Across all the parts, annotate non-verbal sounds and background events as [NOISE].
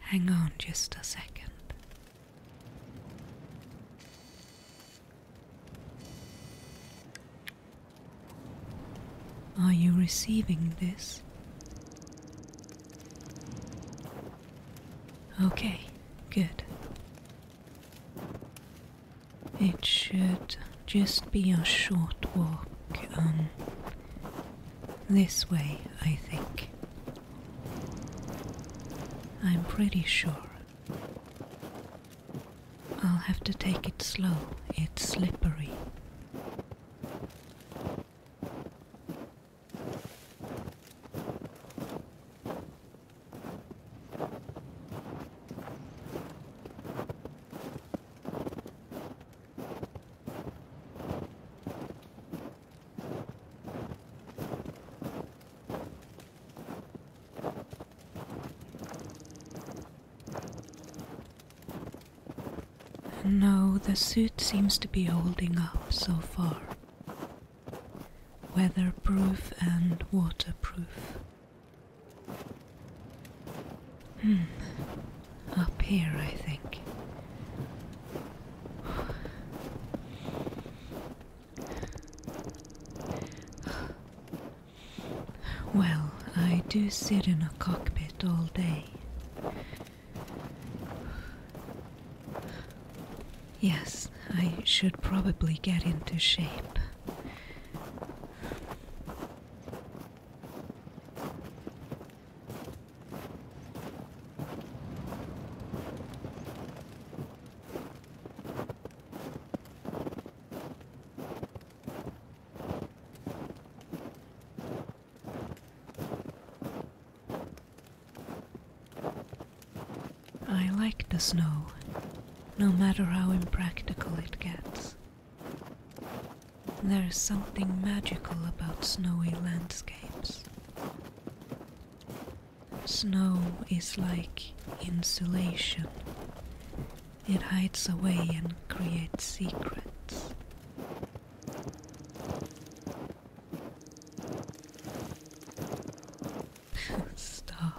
Hang on just a second. Are you receiving this? Okay, good. It should just be a short walk. Um, this way, I think. I'm pretty sure. I'll have to take it slow, it's slippery. No, the suit seems to be holding up so far. Weatherproof and waterproof. Hmm. Up here, I think. Well, I do sit in a cockpit all day. Yes, I should probably get into shape. I like the snow, no matter how impractical it gets. There is something magical about snowy landscapes. Snow is like insulation. It hides away and creates secrets. [LAUGHS] Stop.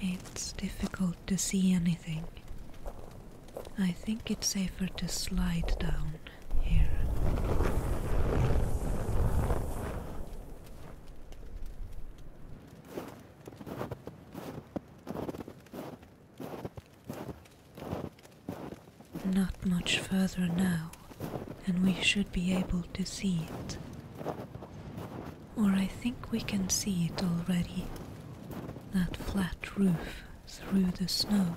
It's difficult to see anything. I think it's safer to slide down here. Not much further now and we should be able to see it. Or I think we can see it already that flat roof through the snow.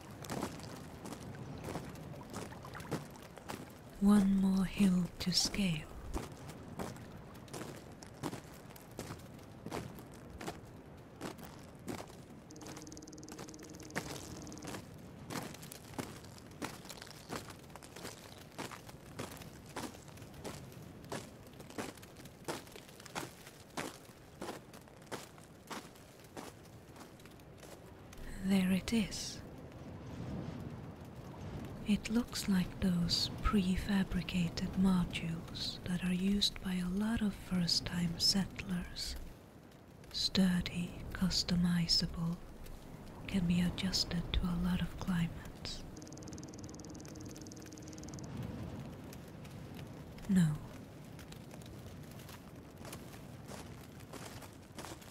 One more hill to scale. There it is. It looks like those prefabricated modules that are used by a lot of first time settlers. Sturdy, customizable, can be adjusted to a lot of climates. No.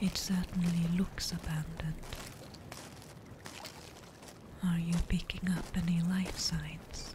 It certainly looks abandoned. Are you picking up any life signs?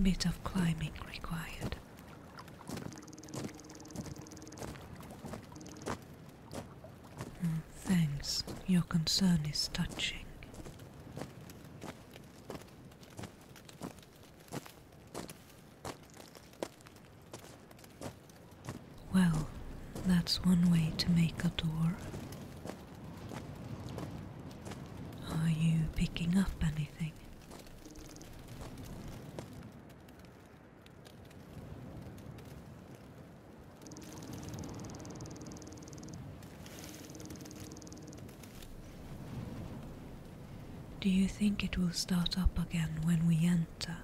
Bit of climbing required. Hmm, thanks, your concern is touching. Well, that's one way to make a door. Are you picking up anything? Do you think it will start up again when we enter?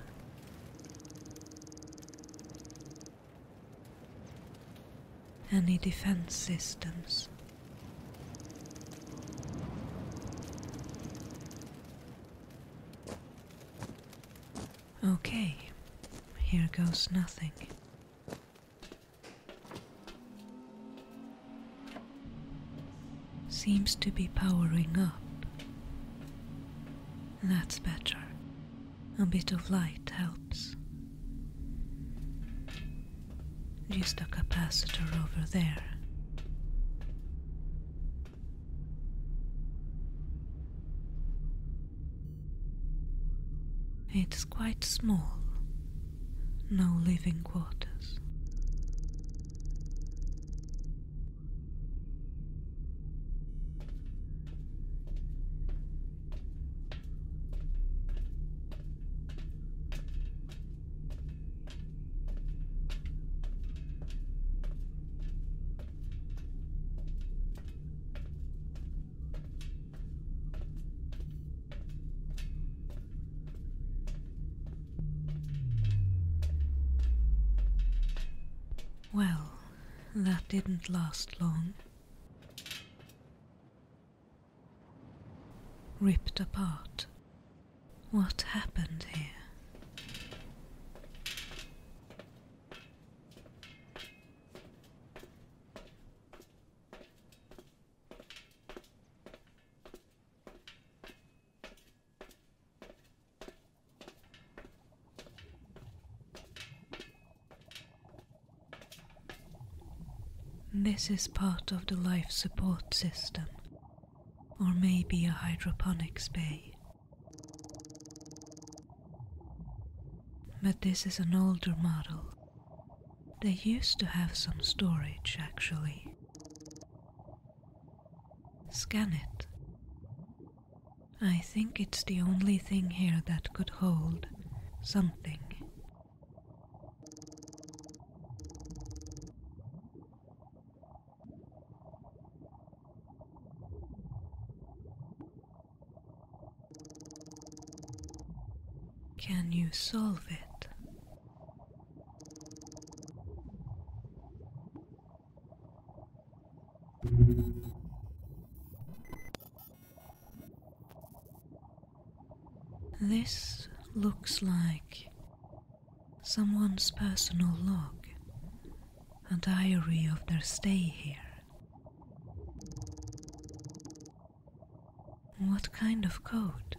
Any defense systems? Okay, here goes nothing. Seems to be powering up. That's better. A bit of light helps. Just a capacitor over there. It's quite small, no living quarters. Well, that didn't last long. Ripped apart. What happened here? This is part of the life support system, or maybe a hydroponics bay. But this is an older model they used to have some storage actually. Scan it. I think it's the only thing here that could hold something. Can you solve it? This looks like someone's personal log, a diary of their stay here. What kind of code?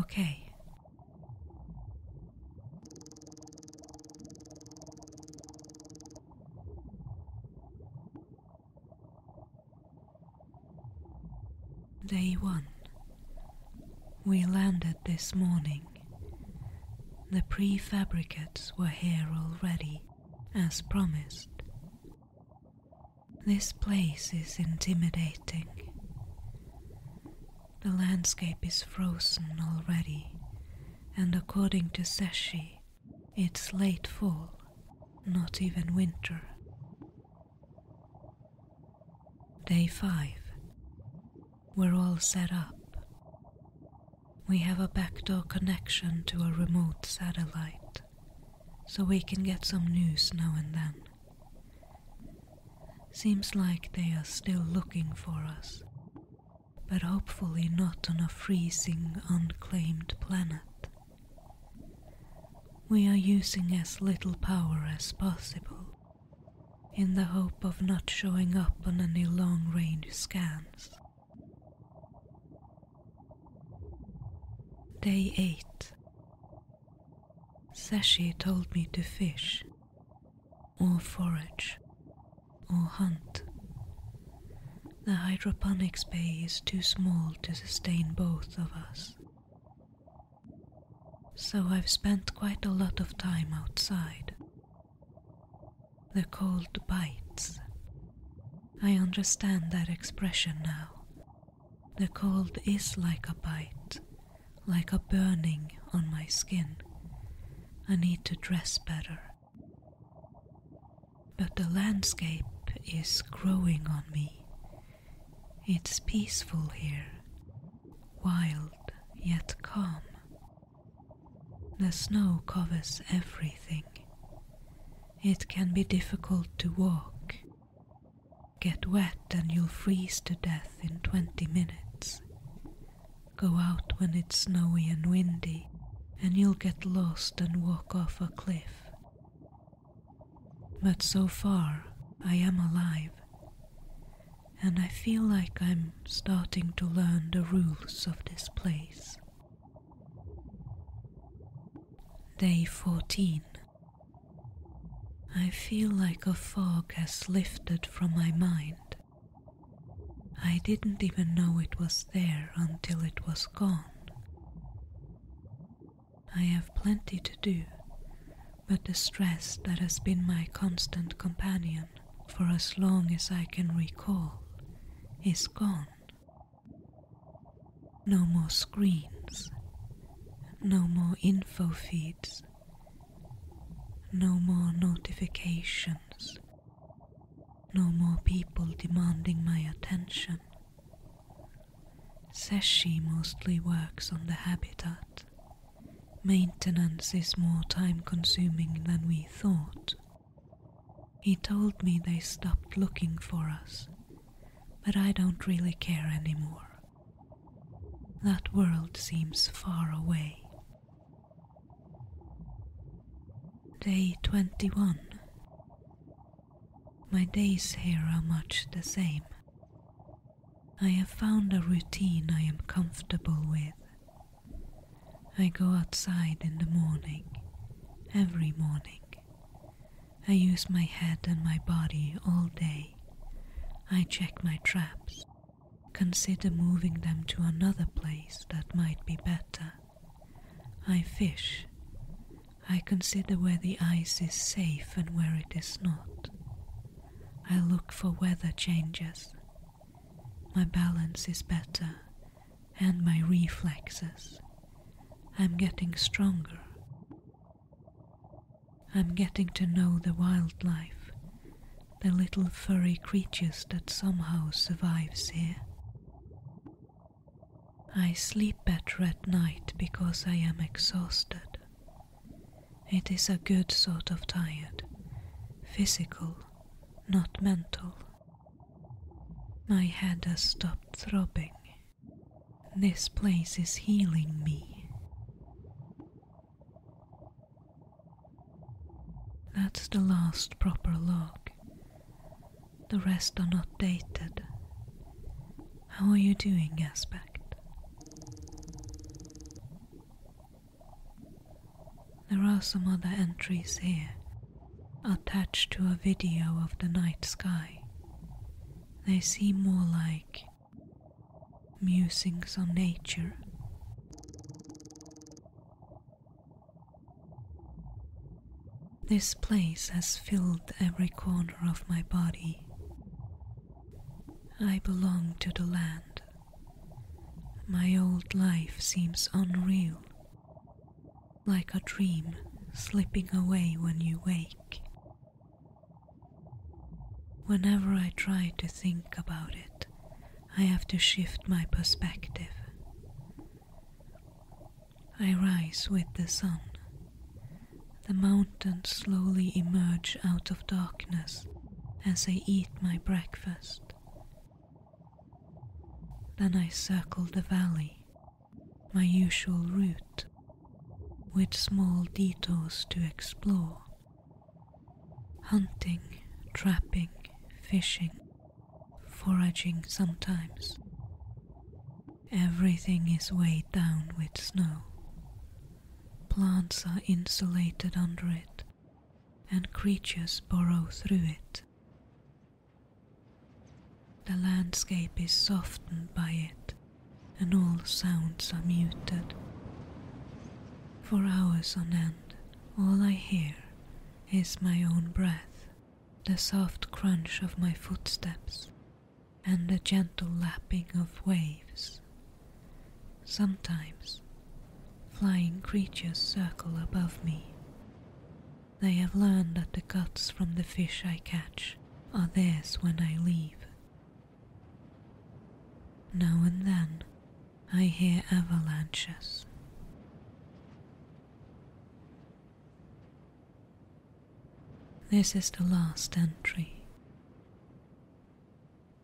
Okay. Day 1 We landed this morning. The prefabricates were here already, as promised. This place is intimidating. The landscape is frozen already, and according to Seshi, it's late fall, not even winter. Day 5. We're all set up. We have a backdoor connection to a remote satellite, so we can get some news now and then. Seems like they are still looking for us, but hopefully not on a freezing, unclaimed planet. We are using as little power as possible, in the hope of not showing up on any long range scans. Day 8 Sashi told me to fish or forage or hunt. The hydroponics bay is too small to sustain both of us. So I've spent quite a lot of time outside. The cold bites. I understand that expression now. The cold is like a bite, like a burning on my skin. I need to dress better. But the landscape is growing on me. It's peaceful here, wild yet calm. The snow covers everything. It can be difficult to walk. Get wet and you'll freeze to death in 20 minutes. Go out when it's snowy and windy, and you'll get lost and walk off a cliff. But so far, I am alive, and I feel like I'm starting to learn the rules of this place. Day 14. I feel like a fog has lifted from my mind. I didn't even know it was there until it was gone. I have plenty to do, but the stress that has been my constant companion for as long as I can recall is gone. No more screens, no more info feeds, no more notifications, no more people demanding my attention. Seshi mostly works on the habitat. Maintenance is more time consuming than we thought. He told me they stopped looking for us, but I don't really care anymore. That world seems far away, Day 21. My days here are much the same. I have found a routine I am comfortable with. I go outside in the morning, every morning. I use my head and my body all day. I check my traps, consider moving them to another place that might be better. I fish. I consider where the ice is safe and where it is not. I look for weather changes. My balance is better and my reflexes. I'm getting stronger. I'm getting to know the wildlife the little furry creatures that somehow survives here. I sleep better at night because I am exhausted. It is a good sort of tired, physical, not mental. My head has stopped throbbing. This place is healing me. That's the last proper log. The rest are not dated. How are you doing, Aspect? There are some other entries here, attached to a video of the night sky. They seem more like musings on nature. This place has filled every corner of my body. I belong to the land. My old life seems unreal, like a dream slipping away when you wake. Whenever I try to think about it, I have to shift my perspective. I rise with the sun. The mountains slowly emerge out of darkness as I eat my breakfast. Then I circle the valley, my usual route, with small detours to explore hunting, trapping, fishing, foraging sometimes. Everything is weighed down with snow. Plants are insulated under it, and creatures burrow through it. The landscape is softened by it, and all sounds are muted. For hours on end, all I hear is my own breath, the soft crunch of my footsteps, and the gentle lapping of waves. Sometimes flying creatures circle above me. They have learned that the guts from the fish I catch are theirs when I leave. Now and then, I hear avalanches. This is the last entry.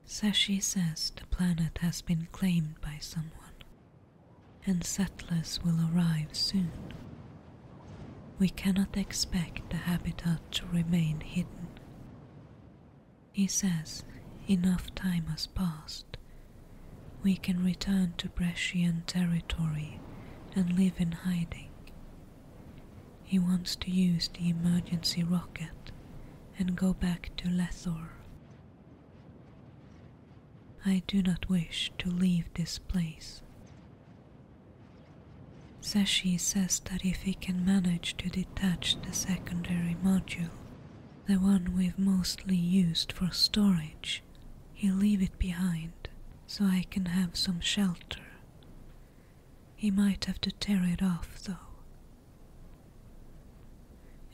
Sashi says the planet has been claimed by someone, and settlers will arrive soon. We cannot expect the habitat to remain hidden. He says enough time has passed. We can return to Brescian territory and live in hiding. He wants to use the emergency rocket and go back to Lethor. I do not wish to leave this place. Seshi says that if he can manage to detach the secondary module, the one we've mostly used for storage. He'll leave it behind so I can have some shelter. He might have to tear it off, though.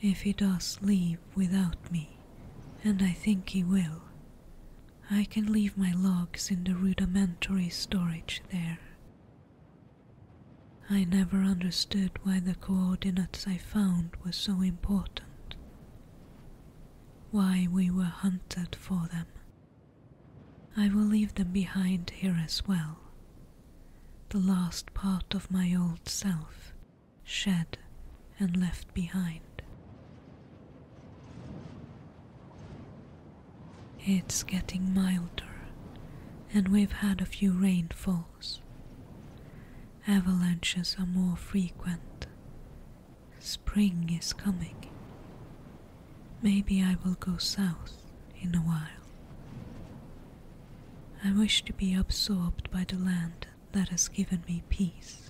If he does leave without me, and I think he will, I can leave my logs in the rudimentary storage there. I never understood why the coordinates I found were so important, why we were hunted for them. I will leave them behind here as well. The last part of my old self, shed and left behind. It's getting milder, and we've had a few rainfalls. Avalanches are more frequent. Spring is coming. Maybe I will go south in a while. I wish to be absorbed by the land that has given me peace.